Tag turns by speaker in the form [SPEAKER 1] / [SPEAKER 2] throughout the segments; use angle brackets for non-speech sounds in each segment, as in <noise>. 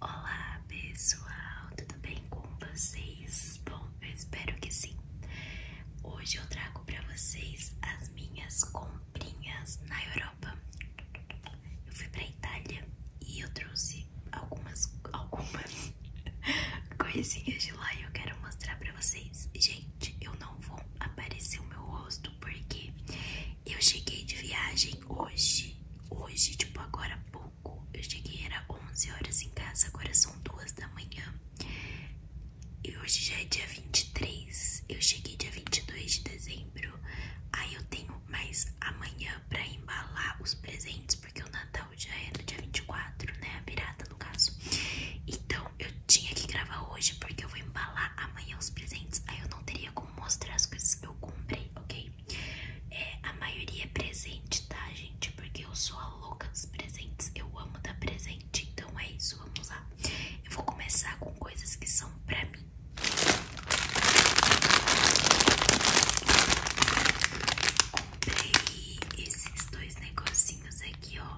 [SPEAKER 1] Olá pessoal, tudo bem com vocês? Bom, eu espero que sim. Hoje eu trago para vocês as minhas comprinhas na Europa. Eu fui para Itália e eu trouxe algumas algumas <laughs> coisinhas de lá e eu quero mostrar para vocês. Gente, eu não vou aparecer o meu rosto porque eu cheguei de viagem hoje, hoje, tipo agora pouco. Eu cheguei, era 11 horas em casa, agora são 2 da manhã. E hoje já é dia 23, eu cheguei dia 22 de dezembro. Aí eu tenho mais amanhã pra embalar os presentes, porque o Natal já é no dia 24, né? A virada, no caso. Então eu tinha que gravar hoje, porque eu vou embalar amanhã os presentes. Aí eu não teria como mostrar as coisas que eu comprei, ok? É, a maioria é presente, tá, gente? Porque eu sou a louca dos presentes. Eu amo dar presente. Então é isso, vamos lá. Eu vou começar com coisas que são pra mim. Comprei esses dois negocinhos aqui, ó.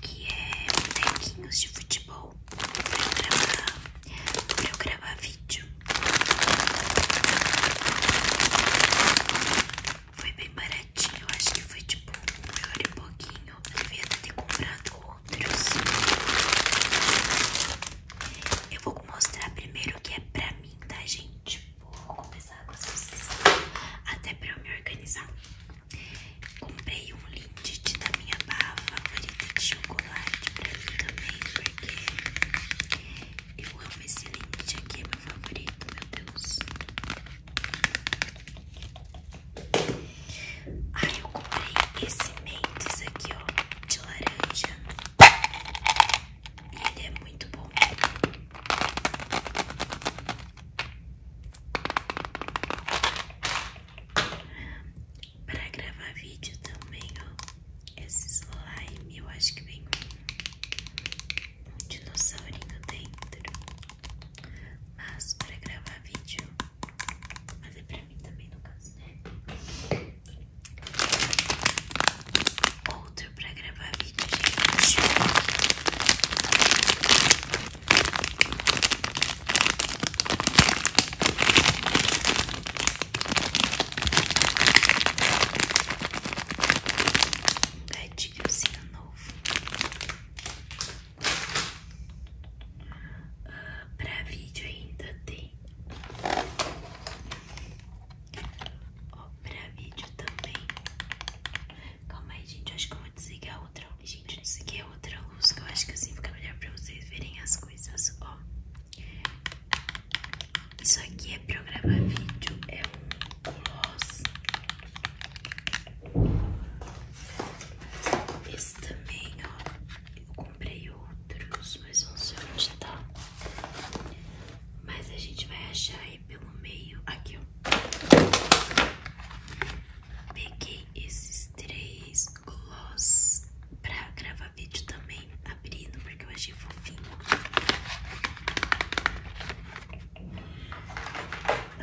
[SPEAKER 1] Que é bonequinhos de futebol. Ou pra gravar vídeo Foi bem baratinho, acho que foi tipo um euro e pouquinho Eu devia ter comprado outros Eu vou mostrar primeiro o que é pra mim, tá gente? Vou começar com vocês Até pra eu me organizar Comprei um livro Titi da minha barra favorita de chocolate pra mim também, porque eu amo esse limite aqui, é meu favorito, meu Deus. Ai, eu comprei esse Mentos aqui, ó, de laranja. E ele é muito bom para gravar vídeo também, Esse slime, eu acho que vem um, um dinossaurinho dentro. Mas para gravar vídeo, mas é para mim também no caso, né? Outro para gravar vídeo, gente. Pede calcinha novo uh, Pra vídeo ainda tem Ó, pra vídeo também Calma aí, gente, acho que eu vou desligar outra Gente, desliguei outra alguns que eu acho que assim fica melhor pra vocês verem as coisas, ó. Isso aqui é pra gravar vídeo, é um gloss. Esse também, ó, eu comprei outros, mas não sei onde tá. Mas a gente vai achar aí pelo meio, aqui ó. Peguei esses três, gloss pra gravar vídeo também, abrindo, porque eu achei fofinho.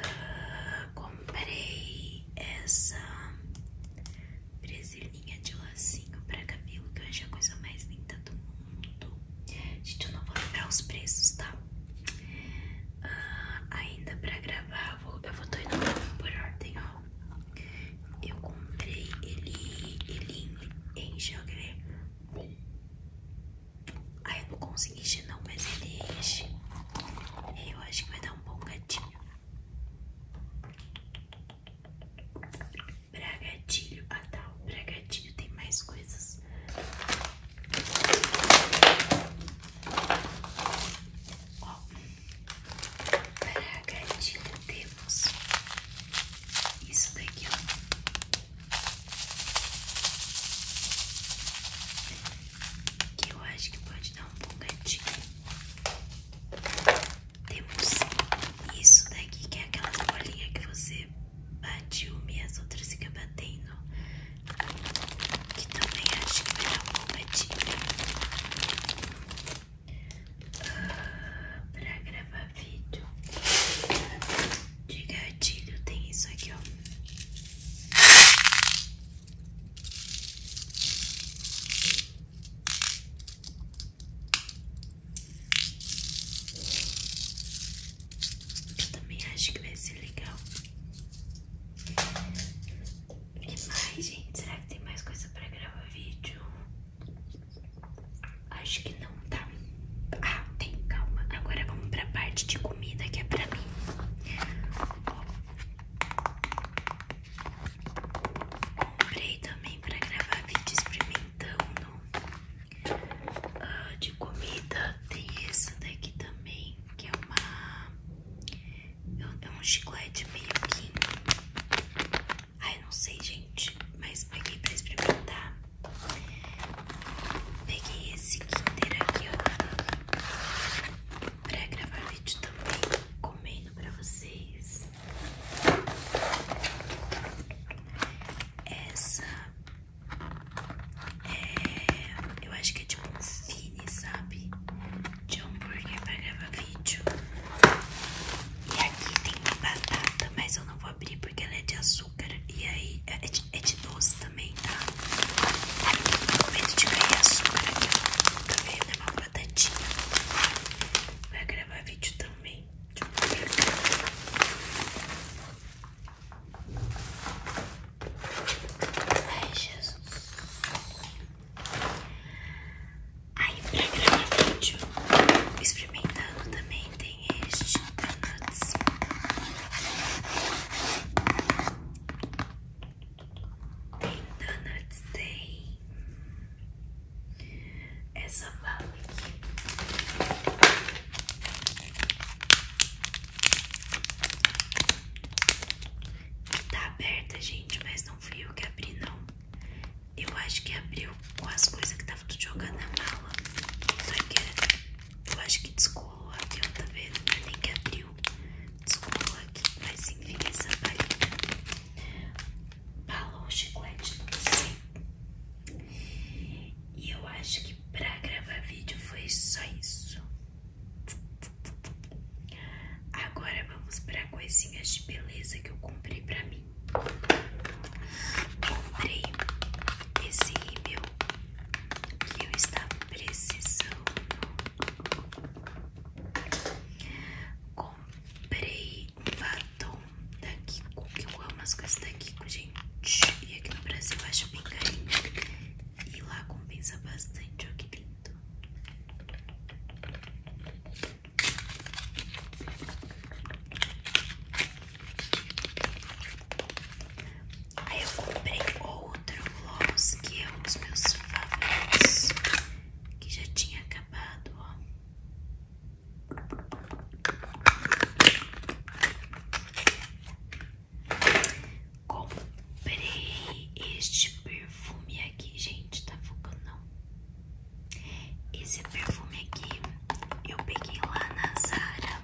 [SPEAKER 1] Ah, comprei essa presilhinha de lacinho pra cabelo, que eu achei a coisa mais linda do mundo. Gente, eu não vou lembrar os preços, tá? Ah, ainda pra gravar já vou. Eu vou tô indo por ordem, ó. Eu comprei ele, ele em, enche, eu queria. eu não consegui encher não, mas ele enche. Eu acho que vai dar um bom gatinho. Pra gatilho, ah tá, pra gatilho tem mais coisas. Ó, para a gatinha temos isso daqui, ó. Que eu acho que pode dar um bom gatinho. Temos isso daqui, que é aquelas bolinhas que você bate uma e as outras ficam batendo que também acho que vai dar uma compatível ah, gravar vídeo de gatilho. Tem isso aqui, ó. Eu também acho que vai ser legal. E mais, gente, será que tem mais coisa pra gravar vídeo? Acho que não, tá? Ah, tem, calma. Agora vamos pra parte de comida que é pra mim. Comprei também pra gravar vídeo experimentando ah, de comida. Tem essa daqui também, que é uma é um chiclete meio que. Ai, não sei, gente. Mas peguei pra experimentar. Peguei esse Kinder aqui, ó. Pra gravar vídeo também. Comendo pra vocês. Essa é, eu acho que é tipo um fine, sabe? De hambúrguer pra gravar vídeo. E aqui tem uma batata, mas eu não vou abrir porque ela é de açúcar. E aí é, é de, é de doce também, tá? Ai, eu medo de cair açúcar aqui. Tá vendo? É uma batatinha. Vai gravar vídeo também. Deixa eu Jesus. Aí, pra gravar vídeo, experimentando também tem este Donuts. Tem Donuts, tem essa bala aqui. Tá aberta, gente, mas não fui eu que abri, não. Eu acho que abriu com as coisas que tava tudo jogando na mala. Só que eu acho que descolou aqui, ó, tá vendo? Não é nem que abriu. Descolou aqui, mas enfim, essa palhinha. Bala ou chiclete, não sei. E eu acho que pra gravar vídeo foi só isso. Agora vamos para coisinhas de beleza que eu comprei para mim. Comprei esse rímel que eu estava precisando. Comprei um batom da Kiko, que eu amo as coisas da Kiko, gente. E aqui no Brasil eu acho bem carinho. E lá compensa bastante, ó que lindo. Aí eu comprei outro gloss que é um dos meus favoritos, que já tinha acabado, ó. Comprei este perfume aqui, gente. Tá focando, não? Esse perfume aqui eu peguei lá na Zara.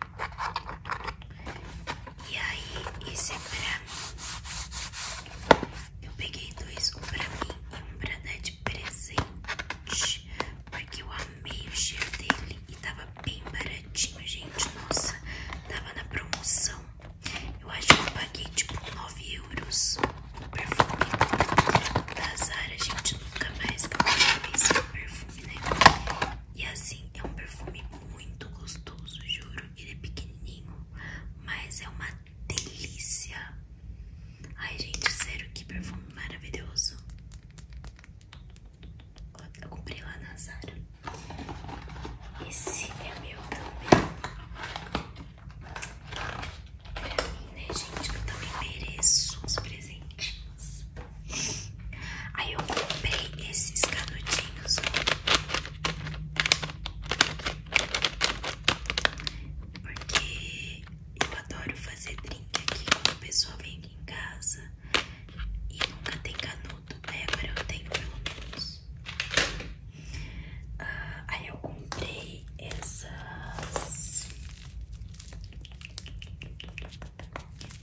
[SPEAKER 1] E aí, esse é pra mim. Eu peguei dois, um pra mim e um pra dar de presente. Porque eu amei o cheiro dele e tava bem baratinho, gente. Nossa, tava na promoção. Eu acho que eu paguei tipo 9 euros o perfume da Zara, gente. Nunca mais comprei esse perfume, né? E assim, é um perfume muito gostoso, juro. Ele é pequenininho, mas é uma delícia. Ai, gente, sério, que perfume maravilhoso. Eu comprei lá na Zara. Esse é meu também. Pra mim, né, gente? Que eu também mereço uns presentinhos. Aí eu comprei esses canudinhos. Porque eu adoro fazer drink aqui quando a pessoa vem aqui em casa e nunca tem canudo tudo, Débora. Eu tenho pelo ah, aí eu comprei essas.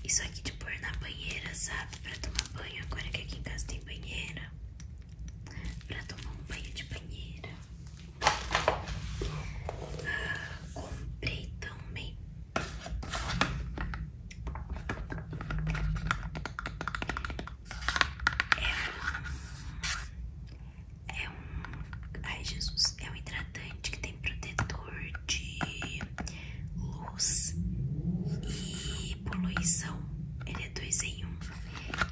[SPEAKER 1] Isso aqui de pôr na banheira, sabe? Pra tomar banho. Agora que aqui em casa tem banheira. Pra tomar um banho de banheira. Ah, comprei também é um, é um. Ai, Jesus. É um hidratante que tem protetor de luz e poluição. Ele é dois em um.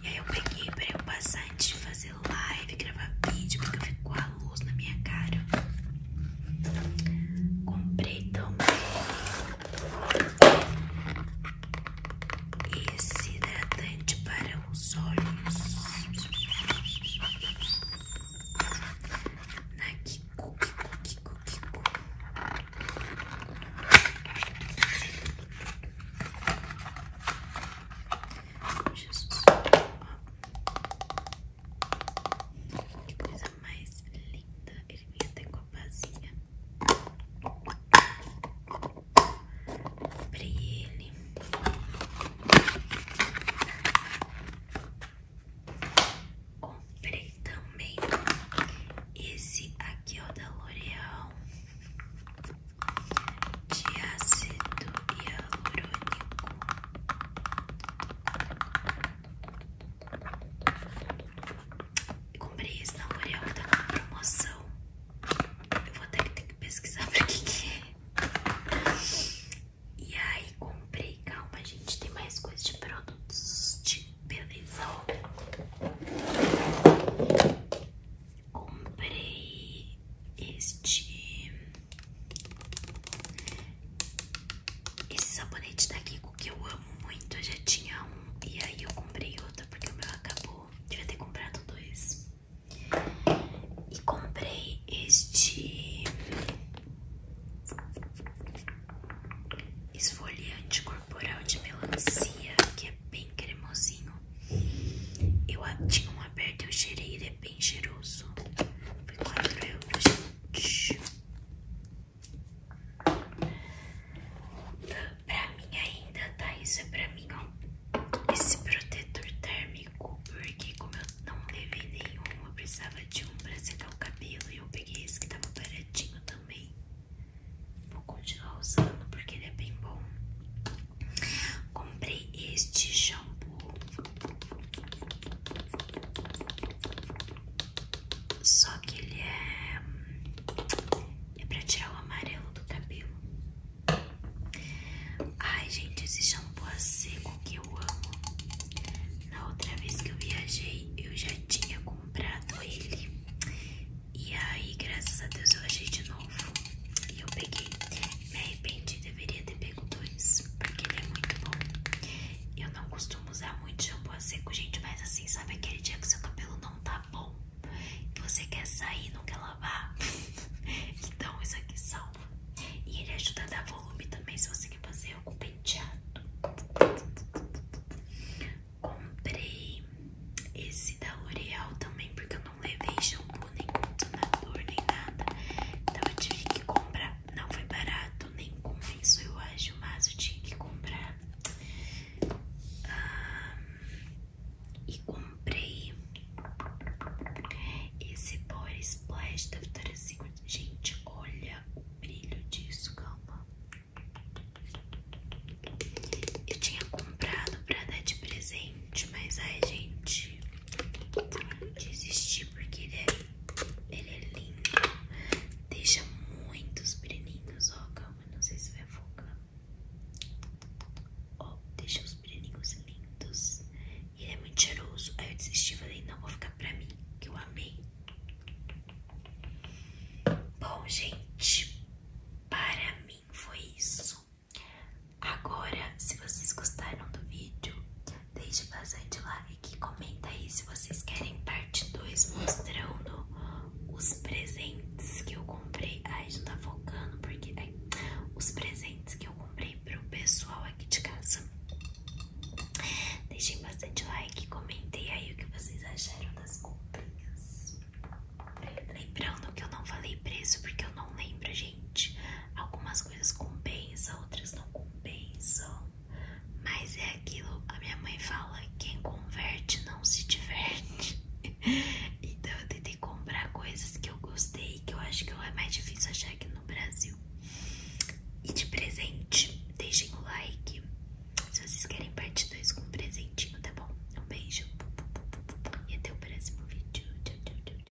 [SPEAKER 1] E aí eu peguei pra eu passar antes de fazer live, gravar vídeo, porque ficou a luz na minha cara. Comprei também esse hidratante para os olhos na Kiko, Kiko, Kiko, Kiko. Jesus coisa mais linda. Ele vem até com a pazinha. Comprei ele. Comprei também esse aqui, o da L'Oréal De ácido hialurônico. Comprei esse na L'Oreal que tava na promoção. Eu vou até ter que pesquisar pra que que é. E aí comprei, calma gente, tem mais coisa de produtos de beleza. Comprei este esse sabonete da Kiko que eu amo muito, eu já tinha um e aí eu comprei outro porque o meu acabou. Devia ter comprado dois. E comprei este esfoliante corporal de melancia, que é bem cremosinho. Eu tinha um aberto e eu cheirei, ele é bem cheiroso. Foi 4 euros. Pra mim ainda, tá? Isso é pra mim, ó. Esse protetor térmico, porque como eu não levei nenhum, eu precisava de um pra secar o cabelo. E eu peguei esse que tava baratinho também. Vou continuar usando, porque ele é bem bom. Comprei este shampoo só que ele é. É pra tirar o amarelo do cabelo. Ai, gente, esse shampoo é seco que eu amo. Na outra vez que eu viajei, eu já tinha comprado ele. E aí, graças a Deus, eu achei de novo. E eu peguei. Me arrependi, deveria ter pegado porque ele é muito bom. Eu não costumo usar muito shampoo a seco, gente, mas assim, sabe aquele dia que seu cabelo não tá bom? Que você quer sair, não quer lavar? <laughs> então isso aqui salva. E ele ajuda a dar volume também, se você quer fazer algum penteado. Comprei esse da L'Oreal também, porque eu não levei shampoo, nem condicionador, nem nada. Então eu tive que comprar não foi barato, nem compensou, eu acho, mas eu tinha que comprar. e comprei esse boris Splash da Victoria's Secret. Gente, olha o brilho disso, calma. Eu tinha comprado pra dar de presente, mas ai, gente, então, desistir porque ele é, ele é lindo. Deixa muitos brilhinhos. Ó, calma, não sei se vai focar. Ó, deixa os brilhinhos lindos. Ele é muito cheiroso. Aí eu desisti falei, não, vou ficar pra mim, que eu amei. Bom, gente, para mim foi isso. Agora, se vocês gostaram do vídeo, deixe bastante like e comenta aí se vocês querem parte 2 mostrando os presentes que eu comprei. Ai, não tá focando porque ai, os presentes que eu comprei pro pessoal aqui de casa. Deixem bastante like e comentem aí o que vocês acharam das comprinhas. Lembrando que eu não falei preço porque eu não lembro, gente. Algumas coisas compensam, outras não compensam. Mas é aquilo, a minha mãe fala, quem converte não se diverte. <laughs> então eu tentei comprar coisas que eu gostei, que eu acho que é mais difícil achar aqui no Brasil. E de presente, deixem o like. Se vocês querem parte 2 com um presentinho, tá bom? Um beijo. E até o próximo vídeo. Tchau, tchau, tchau.